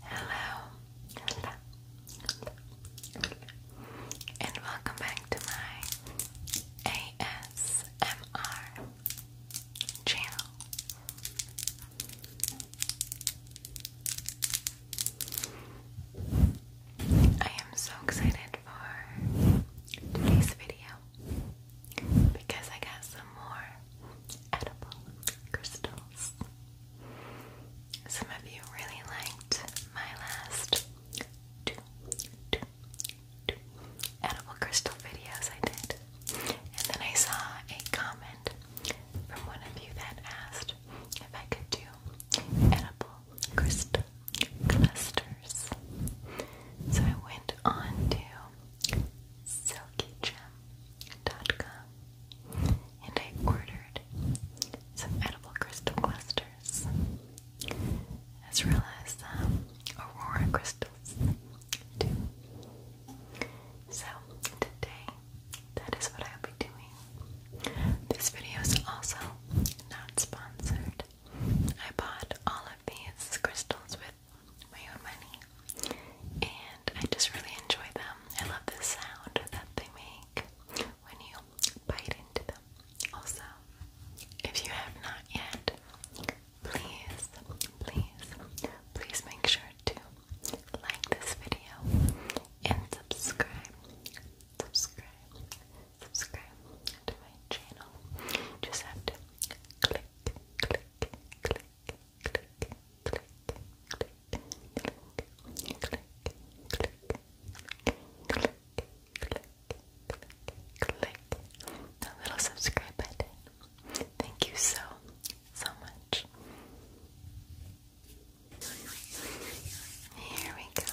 Hello. And welcome back to my ASMR channel. I am so excited for today's video because I got some more edible crystals some of you really liked my last edible crystal videos I did. And then I saw a comment from one of you that asked if I could do edible crystal clusters. So I went on to silkygem.com and I ordered some edible crystal clusters as well as um, aurora crystals So today, that is what I'll be doing. This video is also not sponsored. I bought all of these crystals with my own money and I just really enjoy them. I love the sound that they make when you bite into them. Also, if you have not yet, please, please, please make sure to like this video and subscribe, subscribe, subscribe to my channel. Just have to click, click, click, click, click, click, click, click, click, click, click the little subscribe button. Thank you so, so much. Here we go.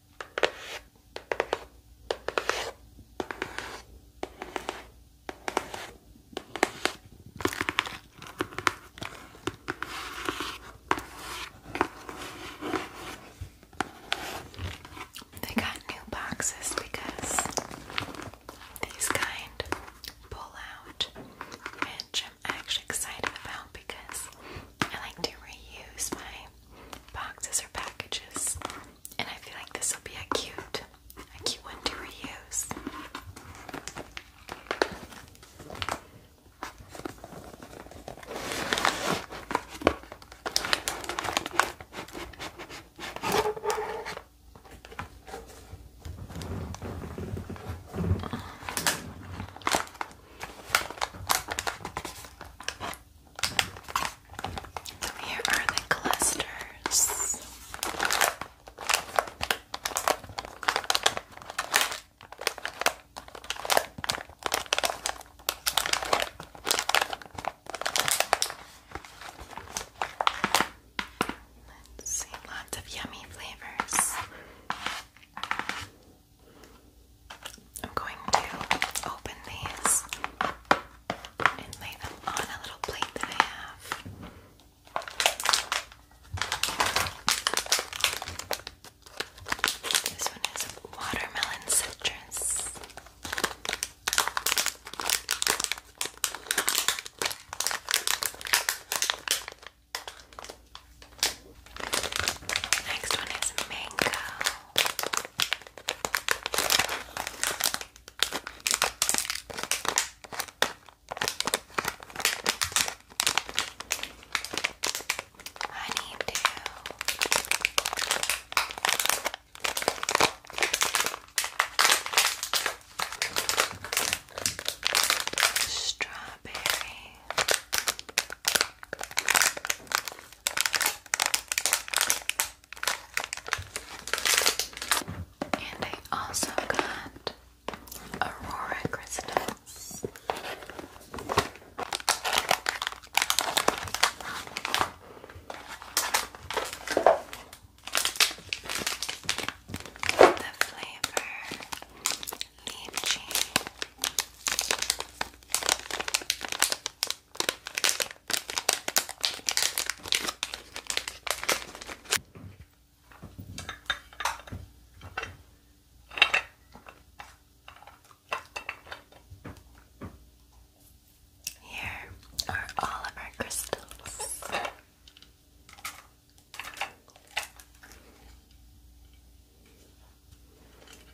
They got new boxes because these kind pull out, which I'm actually excited about because I like to reuse my boxes or packages, and I feel like this will be a cute, a cute one to reuse. Here are the clusters. see, lots of yummy flavors. I'm going to open these and lay them on a little plate that I have. This one is watermelon citrus. Next one is mango. Honeydew. Strawberry. And I also got Aurora crystals. The flavor kimchi. Here are all of our crystals.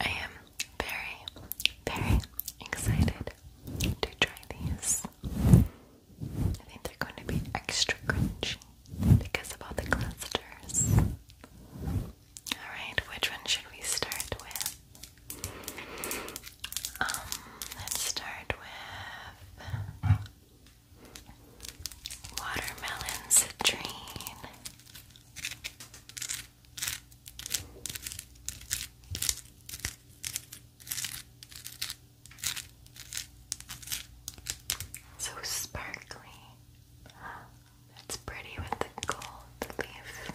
I am very, very excited to try these. I think they're going to be extra crunchy because of all the clusters. Alright, which one should we start with? Um, let's start with Watermelons, dream So sparkly. That's pretty with the gold leaf.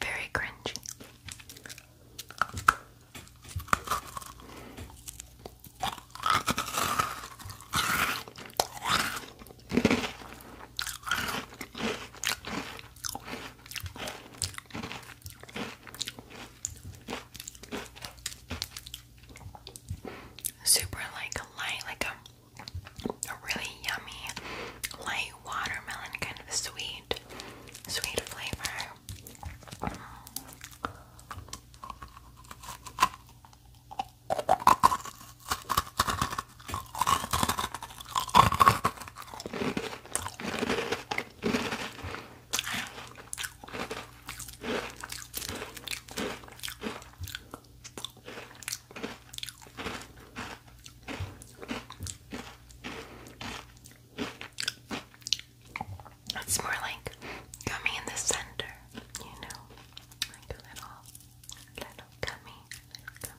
Very cringy. Super like light, like a really yummy, light watermelon kind of sweet, sweet flavor. It's more like coming in the center, you know, like a little, little gummy, little gummy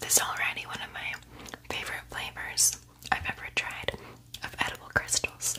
this is already one of my favorite flavors I've ever tried of edible crystals.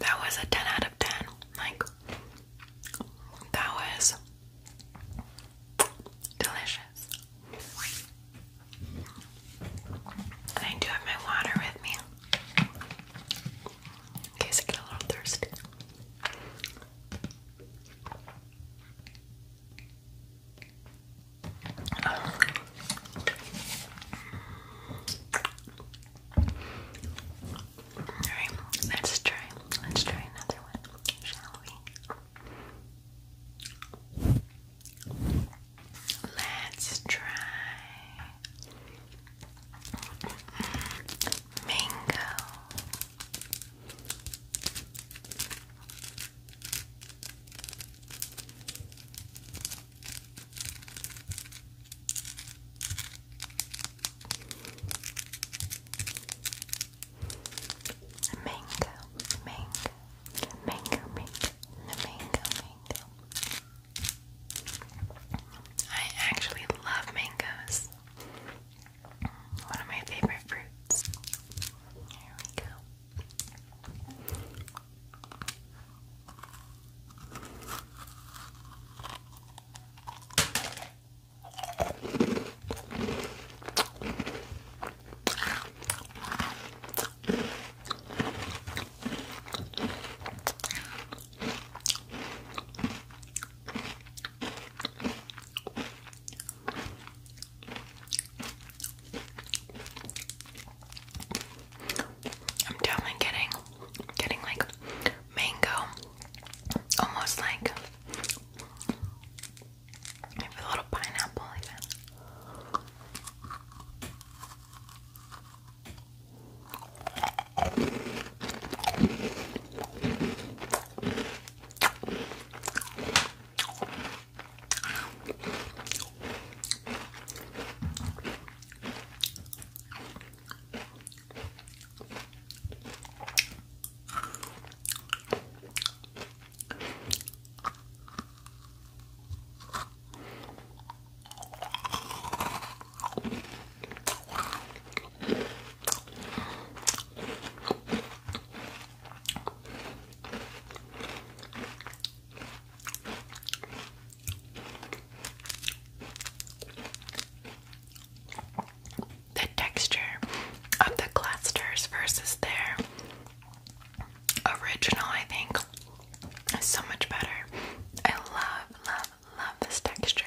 That was a 10 out of 10. Like, that was delicious. And I do have my water with me in case I get a little thirsty. Alright, let's try. Let's try another one, shall we? Let's try mango. Mango, mango, Mango, mango, mango, mango. I actually love mangoes. One of my favorite fruits. Here we go. I'm definitely getting getting like mango almost like Maybe a little pineapple even. The texture of the clusters versus their original, I think. is so much better. I love, love, love this texture.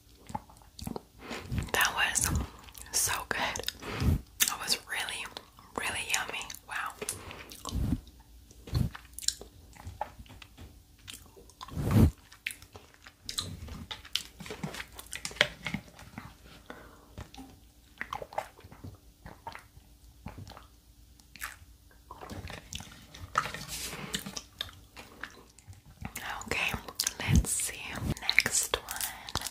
That was so good. That was really, really yummy. Wow. Okay, let's see. Next one.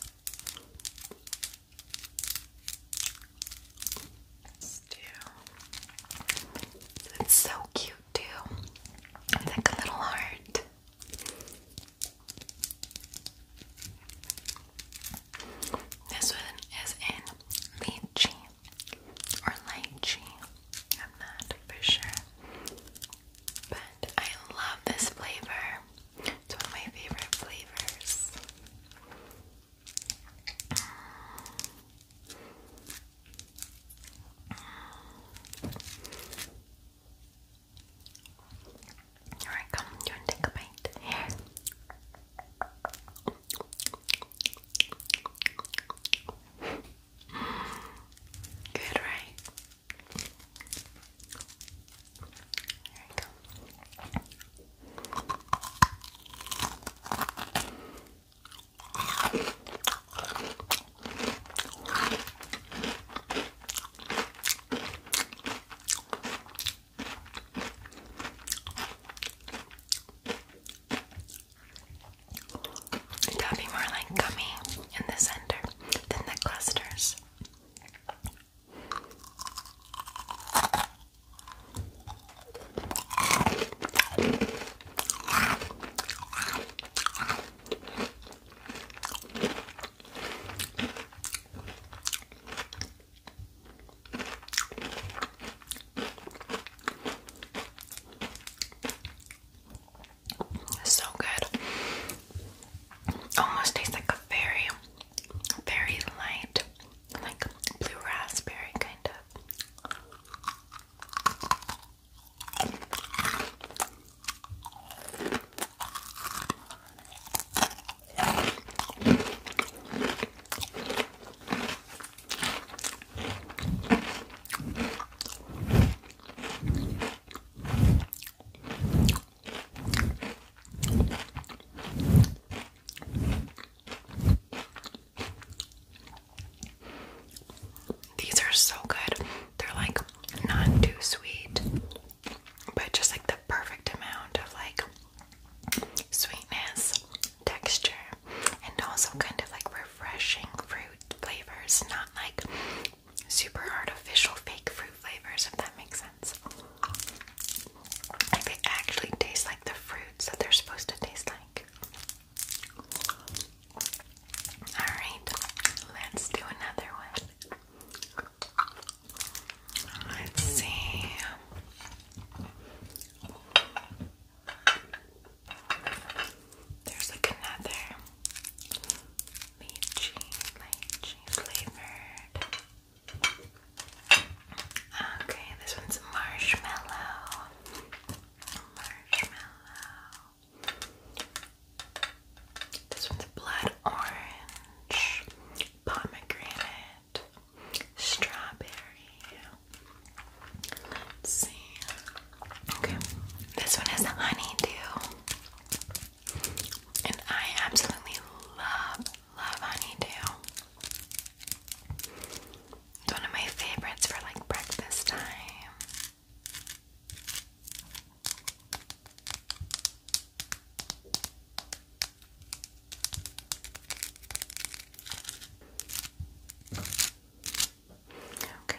It's so cute too. like a little heart. This one is in lychee or lychee. I'm not for sure. But I love this flavor. It's one of my favorite flavors. Alright, come, you want to take a bite? Here. Good, right? There you go. That'd be more like gummy in the center than the clusters. So good. Almost tastes like a very, very light, like blue raspberry kind of. These are so good. They're like not too sweet, but just like the perfect amount of like sweetness, texture, and also kind of like refreshing fruit flavors, not like super artificial fake fruit flavors, if that makes sense. Like actually taste like the fruits that they're supposed to taste like. Alright, let's do another one. Let's see. There's like another lychee, lychee flavored. Okay, this one's marshmallow. Marshmallow. This one's blood orange, pomegranate, strawberry. Let's see. Okay, this one is honeydew, and I absolutely love love honeydew. one of my favorites for like breakfast time. Okay.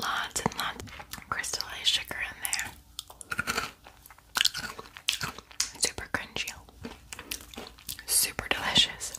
Lots and lots of crystallized sugar in there. Super crunchy. Super delicious.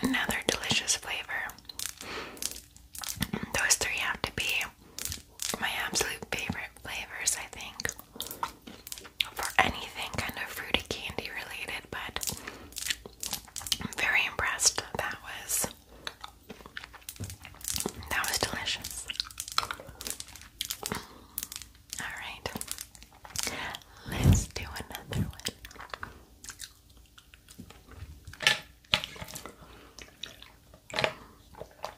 Another delicious flavor. Those three have to be my absolute favorite flavors, I think for anything kind of fruity candy related, but I'm very impressed. That was that was delicious. Alright. Let's do another one.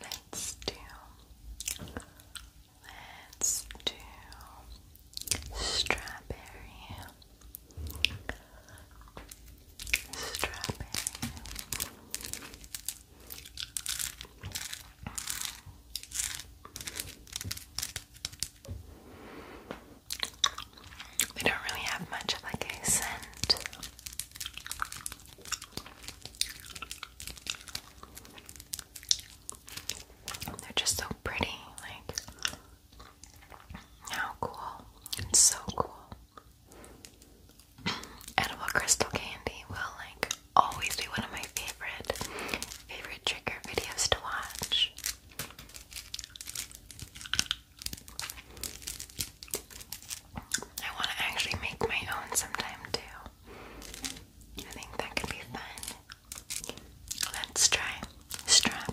Let's do. Let's do strawberry. Strawberry. They don't really have much like a scent. They're just so pretty, like how cool. It's so cool. Edible crystal candy will like always be one of my favorite favorite trigger videos to watch. I want to actually make my own sometime too. I think that could be fun. Let's try strawberry.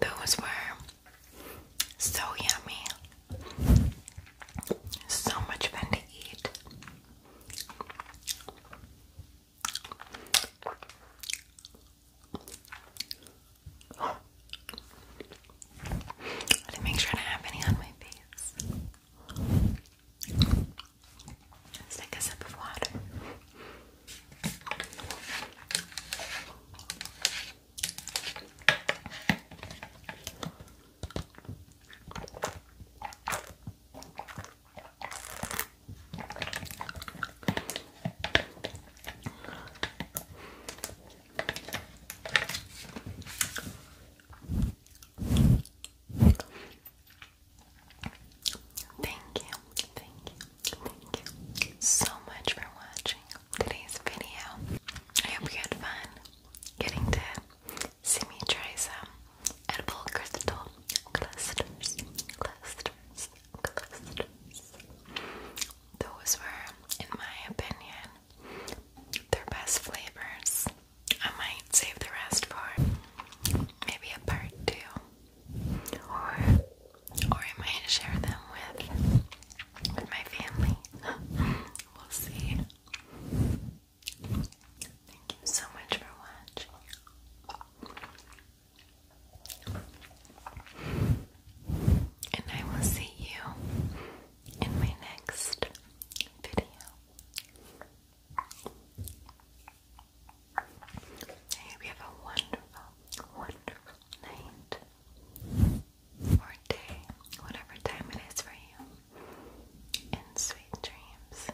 Those were so yummy. So much fun to eat. Let me make sure I don't have any on my face. take a sip of water. Thank you, thank you, thank you so much for watching today's video. I hope you had fun getting to see me try some edible crystal clusters, those were, in my opinion, their best flavors. I might save the rest for maybe a part two, or or I might share them with with my family. we'll see. Thank you so much for watching. And I will see you in my next video. I hope have a wonderful, wonderful night or day, whatever time it is for you, and sweet dreams.